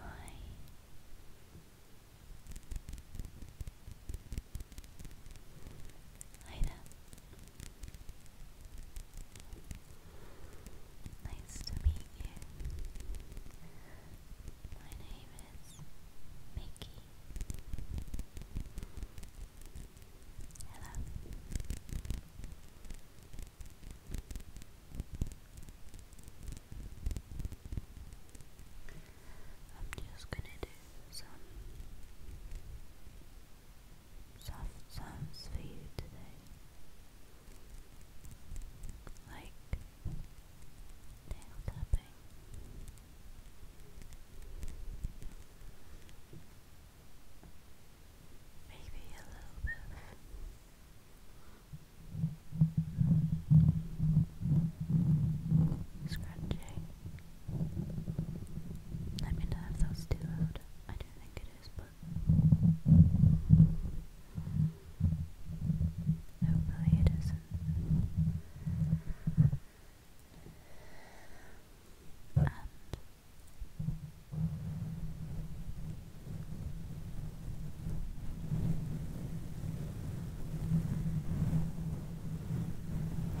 Hi. Hi there. Nice to meet you. My name is Mickey. Hello. I'm just gonna do some soft sounds for you today, like nail tapping. Maybe a little bit Scratching. I mean, I have those two out. I don't think it is, but hopefully it isn't. And a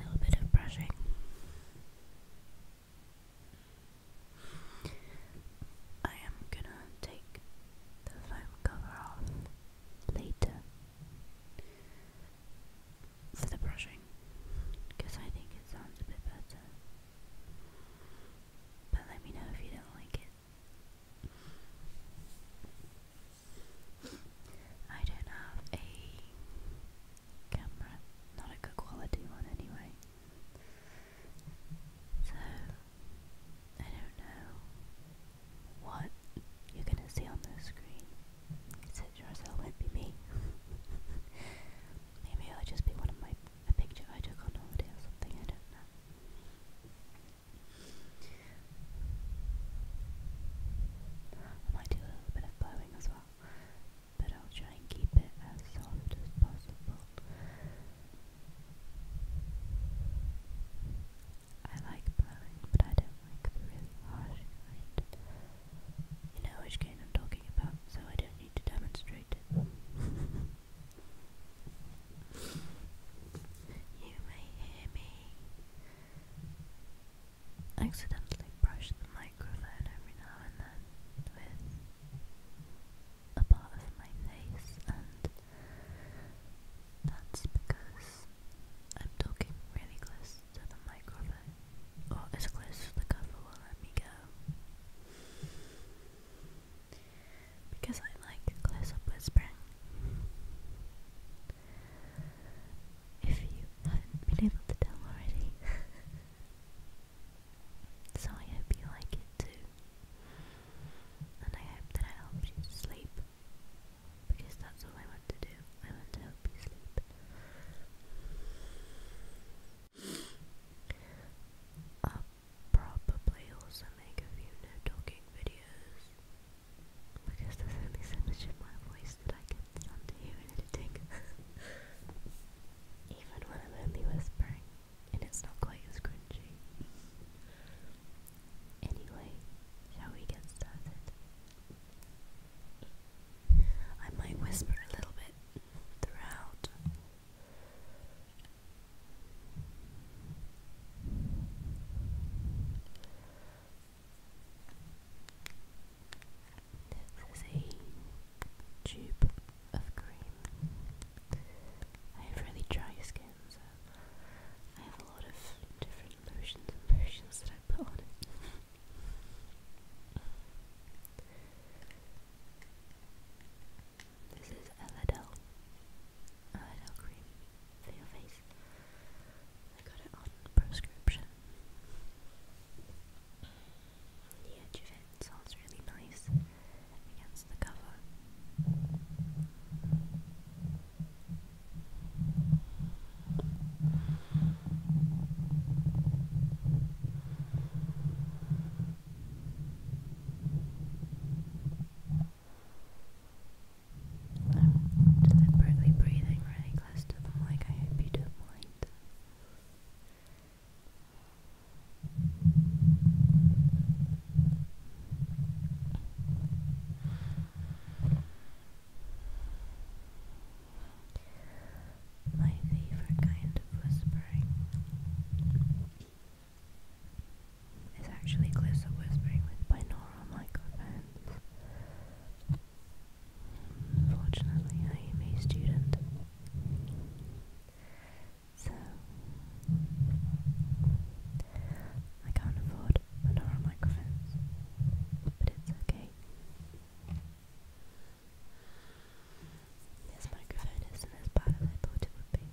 little bit of brushing. I am gonna take the foam cover off later for the brushing because I think it sounds a bit better. But let me know if you don't like it. I don't have a camera, not a good quality one anyway. So, I don't know what you're gonna see on the screen. Is yours, it won't be me. Maybe i will just be one of my a picture I took on holiday or something, I don't know. I might do a little bit of blowing as well, but I'll try and keep it as soft as possible. I like blowing, but I don't like really harsh kind. You know which kind I'm talking about, so I don't need to demonstrate. you may hear me accidentally brush the microphone every now and then with a part of my face, and that's because I'm talking really close to the microphone, or as close as the cover will let me go. Because I like close up whispering. If you haven't been able to tell already. so I hope you like it too. And I hope that I helped you sleep. Because that's all I want to do. I want to help you sleep i probably also make a few no talking videos because there's only so of my voice that I can hear in editing. Even when I'm only whispering, and it's not quite as cringy. Anyway, shall we get started? I might whisper a little bit throughout. This is a tube of cream. I have really dry skin, so I have a lot of different lotions and potions that I put on this is Elidel. Elidel cream for your face. I got it on prescription. The edge of it sounds really nice against the cover. I'm deliberately breathing really close to them, like I hope you don't my favorite kind of whispering is actually closer whispering with binaural microphones. Unfortunately, I am a student. So, I can't afford binaural microphones, but it's okay. This microphone isn't as bad as I thought it would be.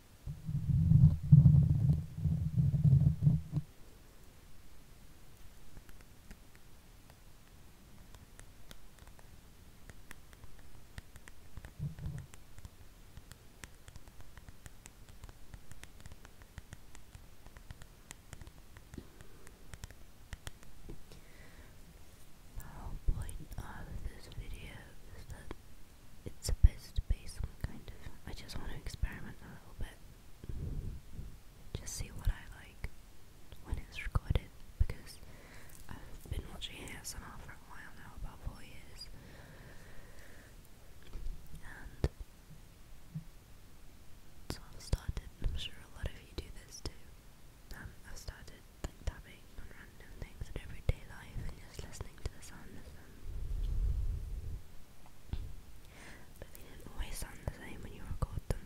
The whole point of this video is that it's supposed to be some kind of. I just want to experiment a little bit. Just see what I like when it's recorded because I've been watching ASMR for a while now, about four years. And so I've started, I'm sure a lot of you do this too. Um, I've started like tapping on random things in everyday life and just listening to the sound of them. But they don't always sound the same when you record them.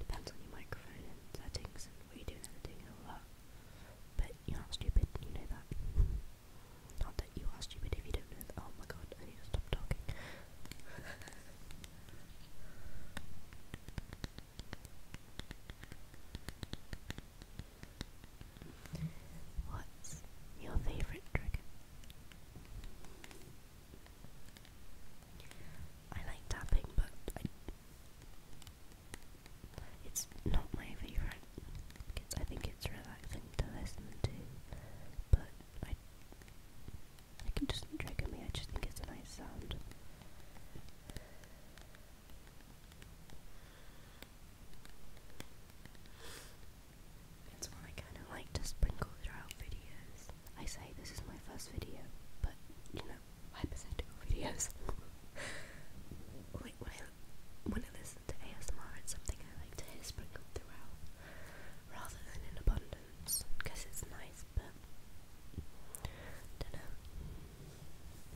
Depends on your microphone and settings and what you do in editing and all that. But you're not stupid, you know that. Not that you are stupid if you don't know Oh my god, I need to stop talking. What's your favorite dragon? I like tapping, but it's not my favorite. It's, I think it's relaxing to listen to, but I can just trigger me. I just think it's a nice sound. It's one I kind of like to sprinkle throughout videos. I say this is my first video, but you know, hypothetical videos. like when I when I listen to ASMR, it's something I like to hear sprinkled throughout, rather than in abundance, because it's nice, but dunno.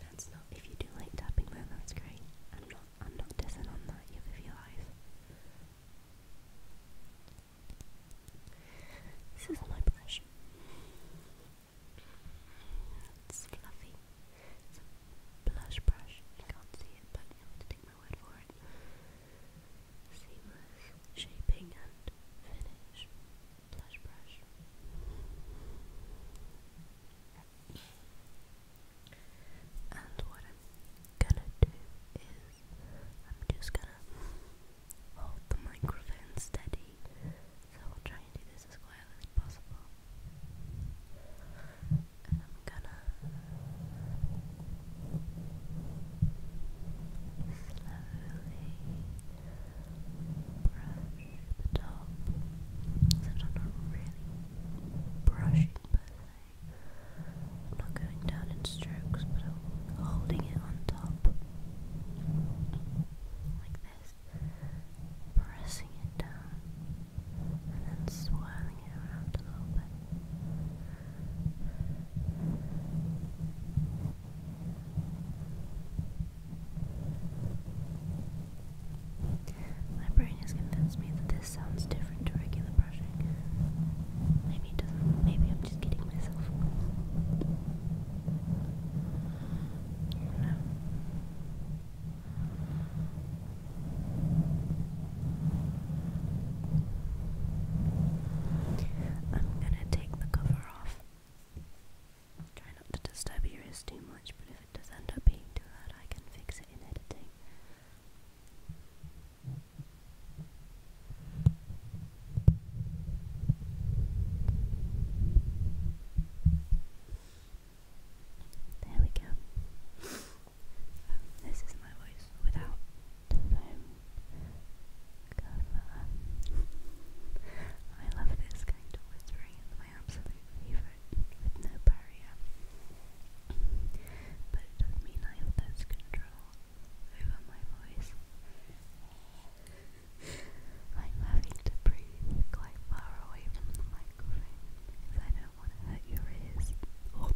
That's not if you do like tapping though, that's great. I'm not I'm not dissing on that, you live your life. This is my brush. It's fluffy. It's a blush brush. You can't see it, but you have to take my word for it. Seamless shaping and finish. And what I'm gonna do is I'm just gonna hold the microphone steady. So I'll try and do this as quietly as possible. And I'm gonna slowly brush the top. Since I'm not brushing per se, I'm not going down in strokes, but I'm holding it on top like this, pressing it down, and then swirling it around a little bit. My brain has convinced me that this sounds different to regular brushing. Maybe it doesn't. Maybe I'm just kidding myself. No. I'm gonna take the cover off. Try not to disturb your ears too much, but if it does end up being too loud, I can fix it in editing. There we go. this is my voice without um, I love this kind of whispering, it's my absolute favourite, with no barrier. But it does mean I have less control over my voice. I'm having to breathe quite far away from the microphone because I don't want to hurt your ears. Oh,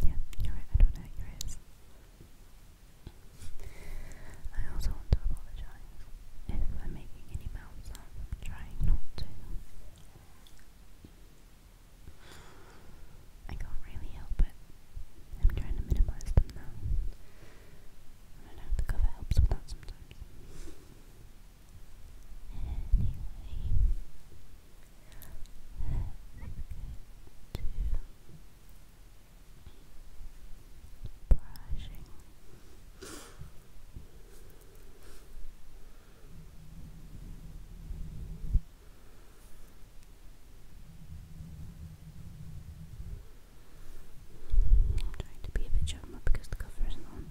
yeah, you're right, I don't hurt your ears. I also want to apologize if I'm making any mouth sounds. trying not to. I can't really help it. I'm trying to minimize them now. I don't know, the cover helps with that sometimes. Anyway, let's brushing I'm trying to be a bit chum because the cover isn't on.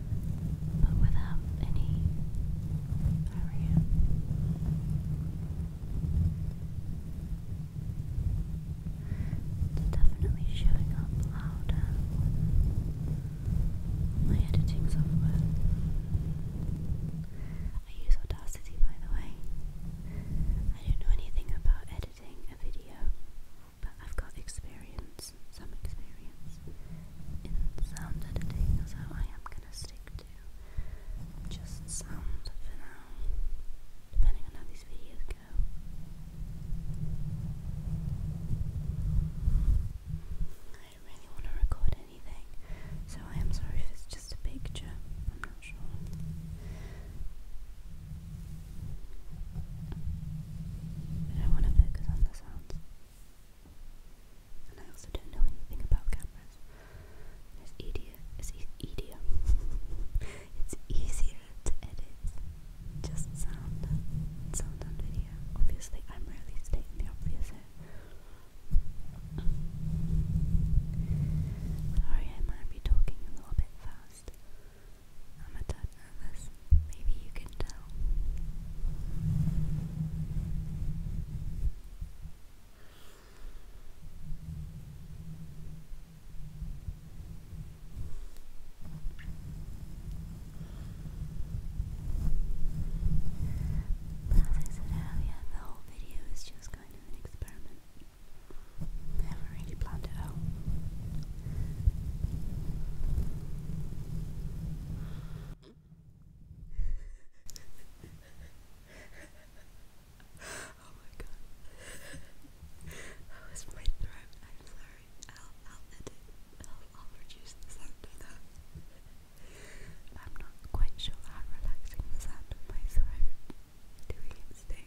but without any hurry. It's definitely showing up louder on my editing software. I use Audacity by the way. I don't know anything about editing a video, but I've got experience experience, some experience in sound editing, so I am gonna stick to just sound for now, depending on how these videos go. I don't really want to record anything, so I am sorry if it's just a picture, I'm not sure. I don't want to focus on the sounds. And I also don't know anything about cameras. It's easier. It's e easier. it's easier to edit just sound, sound and video. Obviously, I'm really stating the obvious Sorry, I might be talking a little bit fast. I'm a tad nervous. Maybe you can tell. But as I said the whole video is just kind of an experiment. I really planned it out oh my god. that my throat. I'm sorry. I'll I'll I'll I'll that. I'm not quite sure how relaxing the sound my throat doing its thing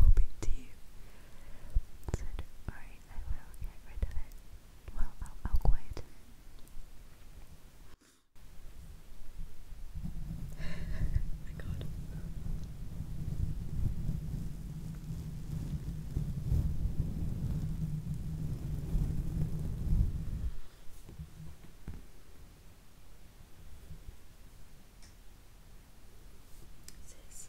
will be to you. I will get rid of it. Well, I'll, I'll My God. Sis,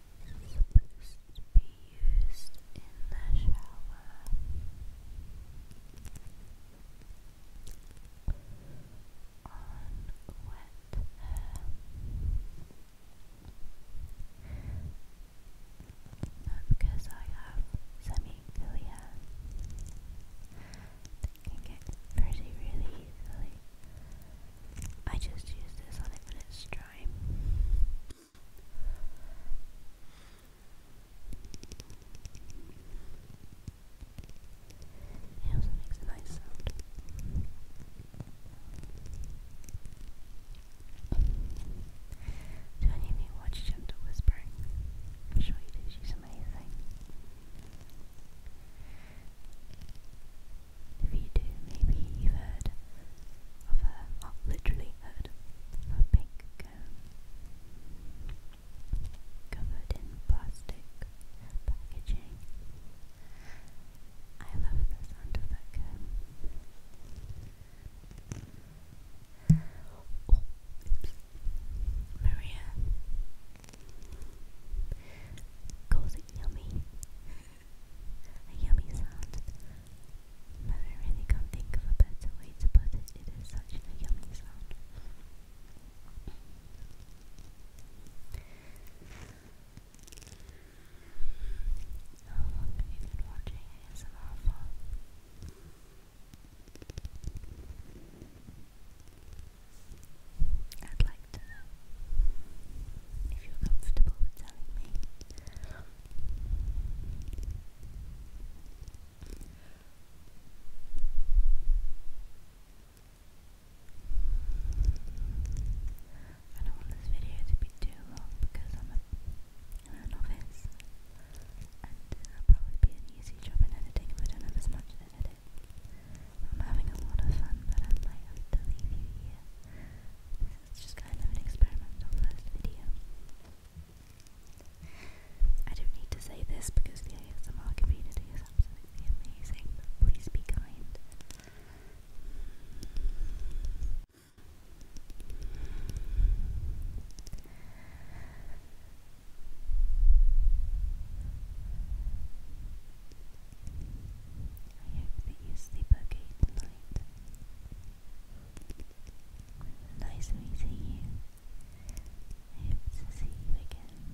supposed to be used in the shower. On wet hair. because I have semi clear they can get pretty really easily. I just used this on it's dry. It also makes a nice sound. Do any of you watch Gentle Whispering? I'm sure you do, she's amazing. If you do, maybe you've heard of her, or oh, literally heard of a pink cone covered in plastic packaging. I love the sound of that cone. Oh, oops. Maria Calls it yummy. a yummy sound. No, I really can't think of a better way to put it. It is such a yummy sound. How long have you been watching ASMR for? I'd like to know if you're comfortable telling me. I don't want this video to be too long because I'm a, I'm a and uh, it'll probably be an easy job in editing if I don't have as much editing it. I'm having a lot of fun, but I might have to leave you here. This is just kind of an experimental first video. I don't need to say this because the ASMR community is absolutely amazing, but please be kind. I hope that you sleep okay tonight. Nice meeting you. I to see you again.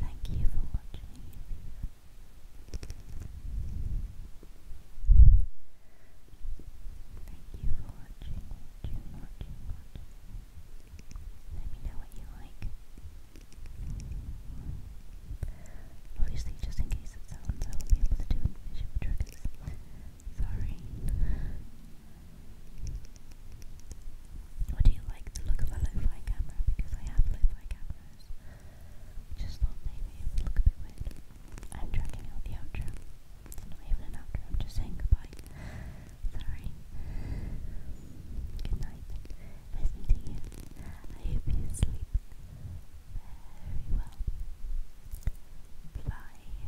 Thank you for watching. Thank you for watching. Let me know what you like. Obviously, just in case it sounds, I will be able to do visual Sorry. Or do you like the look of a lo-fi camera? Because I have lo-fi cameras. Just thought maybe it would look a bit weird. I'm dragging out the outro. It's even an outro, I'm just saying goodbye. Sorry. Good night. Nice you. I hope you sleep very well. Fly.